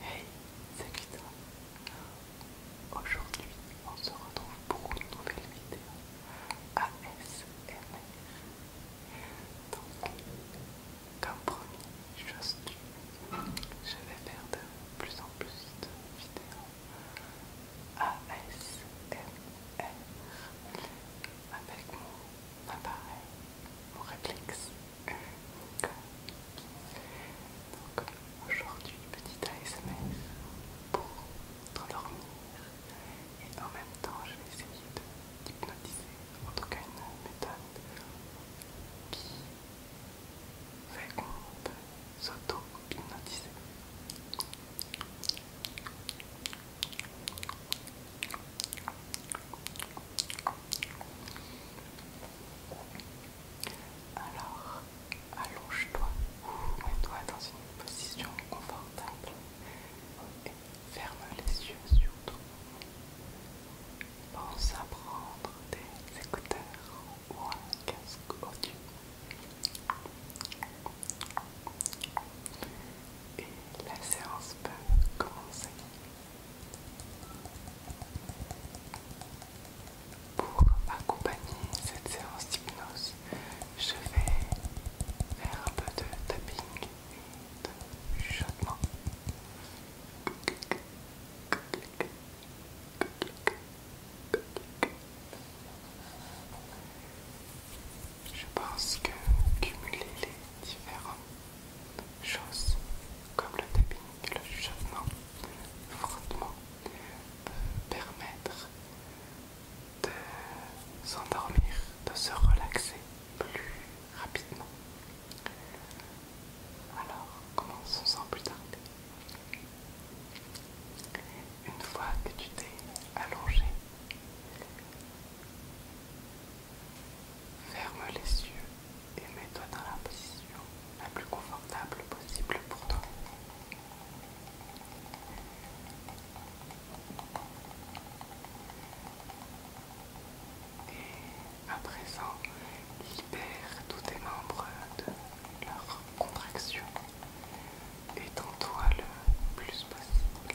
Hey, c'est Kita. Aujourd'hui, on se retrouve pour une nouvelle vidéo ASMR. Donc, comme promis, je vais faire de plus en plus de vidéos ASMR avec mon appareil, mon réflexe. Donc aujourd'hui, petite ASMR pour t'endormir et en même temps, je vais essayer de d'hypnotiser, en tout cas une méthode qui fait qu'on s'auto-hypnotiser. Alors, allonge-toi mets-toi dans une position confortable et ferme les yeux surtout. Pense à prendre des écouteurs ou un casque audio. Et la séance peut commencer. Pour accompagner cette séance d'hypnose, je vais faire un peu de tapping je pense que cumuler les différentes choses comme le tapping, le chuchotement, le frottement peut permettre de s'endormir, de se relaxer plus rapidement. Alors, commençons sans plus tarder. Une fois que tu t'es allongé, ferme les yeux et mets-toi dans la position la plus confortable possible pour toi. Et à présent, libère tous tes membres de leur contraction. Étends-toi le plus possible.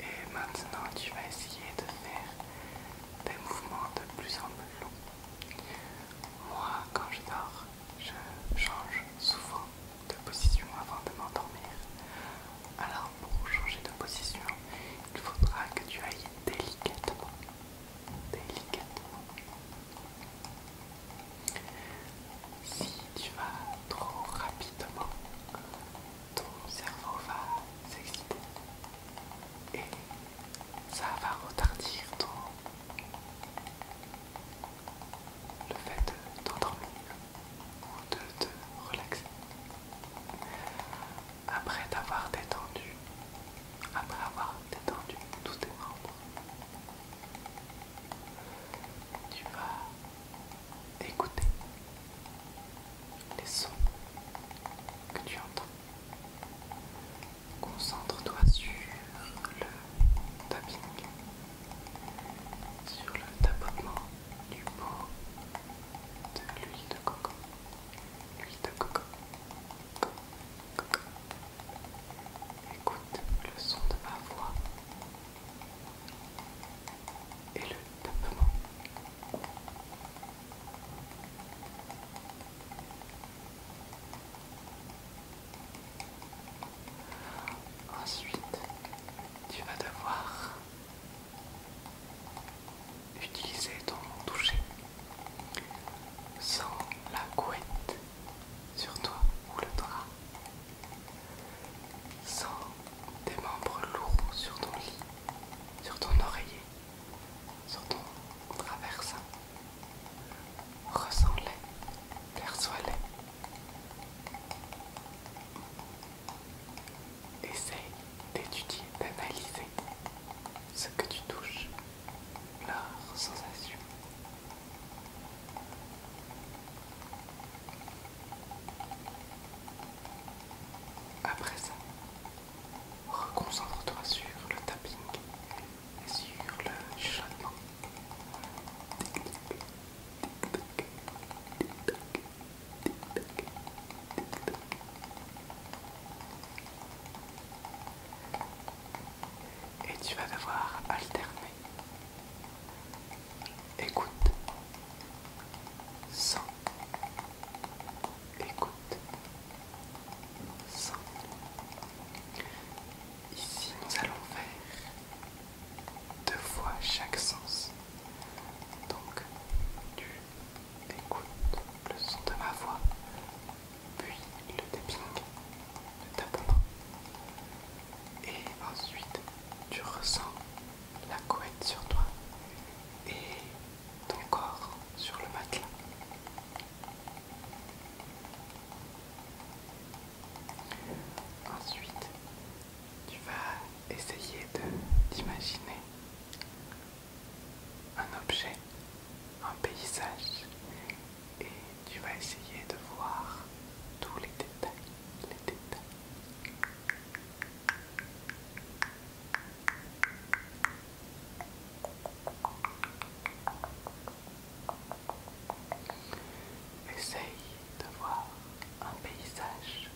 Et maintenant, tu vas essayer de faire des mouvements de plus en plus longs. Moi, quand je dors, je change souvent de position avant de m'endormir. Alors, pour changer de position, il faudra que tu ailles délicatement. Délicatement. Si tu vas trop rapidement, ton cerveau va s'exciter et ça va retardir ton... le fait de t'endormir ou de te relaxer. Après t'avoir détendu, après avoir détendu tous tes membres, tu vas écouter les sons que tu entends. Concentre-toi sur le tapping, sur le tapotement du pot de l'huile de coco. L'huile de coco. Écoute le son de ma voix et le tapement. Ensuite, tu vas devoir utiliser ton toucher sans la couette sur toi ou le drap Sens tes membres lourds sur ton lit, sur ton oreiller, sur ton traversin. Ressens-les, perçois-les. Essaye d'étudier, d'analyser ce que tu touches, leurs sensations. Après ça, reconcentre-toi sur le tapping et sur le chuchotement et tu vas devoir alterner. Écoute. Sans. Écoute. Sans. Ici, nous allons faire deux fois chaque sens. Donc, tu écoutes le son de ma voix, puis le tapping de ta et ensuite tu ressens la couette sur toi et ton corps sur le matelas. Ensuite, tu vas essayer de d'imaginer un objet, un paysage et tu vas essayer de voir tous les détails, les détails. Essaye de voir un paysage,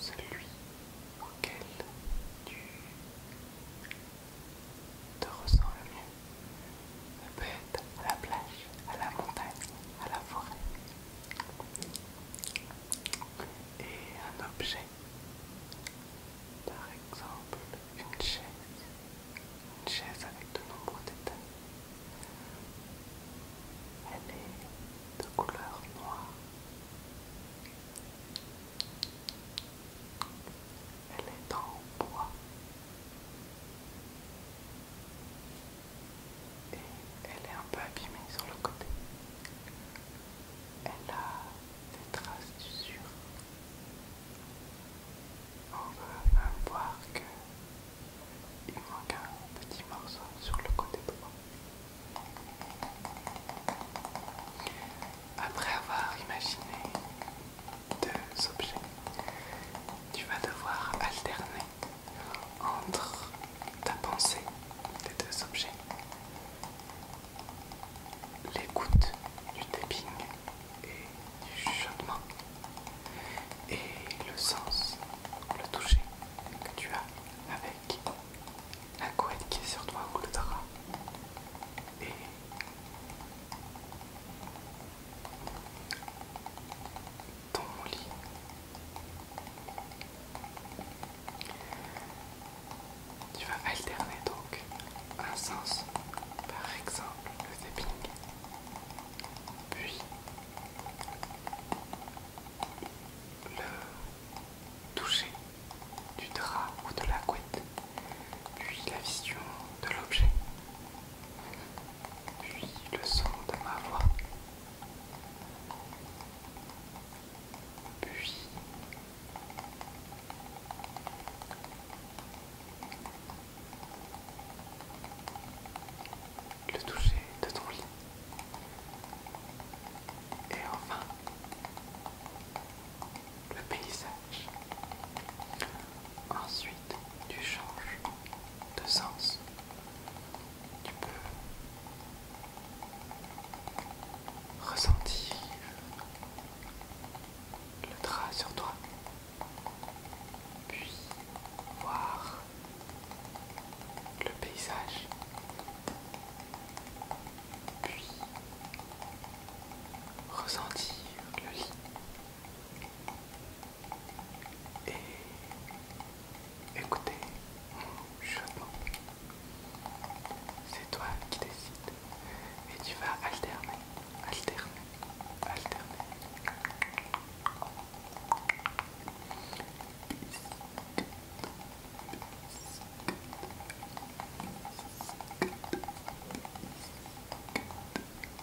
celui auquel tu te ressens le mieux. Elle peut être à la plage, à la montagne, à la forêt. Et un objet. Par exemple, une chaise. Une chaise avec de nombreux détails. Elle est de couleur noire. Elle est en bois. Et elle est un peu abîmée sur le côté. Elle a des traces d'usure. On va même voir qu'il manque un petit morceau sur le côté droit. Après avoir imaginé deux objets. Tu vas devoir alterner entre ta pensée des deux objets, l'écoute du tapping et du chuchotement, et le sens, le toucher que tu as avec la couette qui est sur toi ou le drap. Et ton lit. Tu vas alterner donc un sens, par exemple le tapping, puis le toucher du drap ou de la couette, puis la vision de l'objet puis le son de ma voix, puis le toucher de ton lit. Et enfin, le paysage. Ensuite, tu changes de sens. Tu peux ressentir le drap sur toi, puis voir le paysage, puis ressentir le lit et écoutez mon C'est toi qui décides et tu vas alterner, alterner, alterner.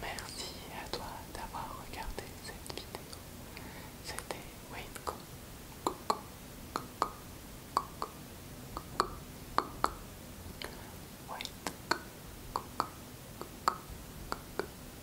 Merci à toi d'avoir regardé cette vidéo. C'était Waitco. co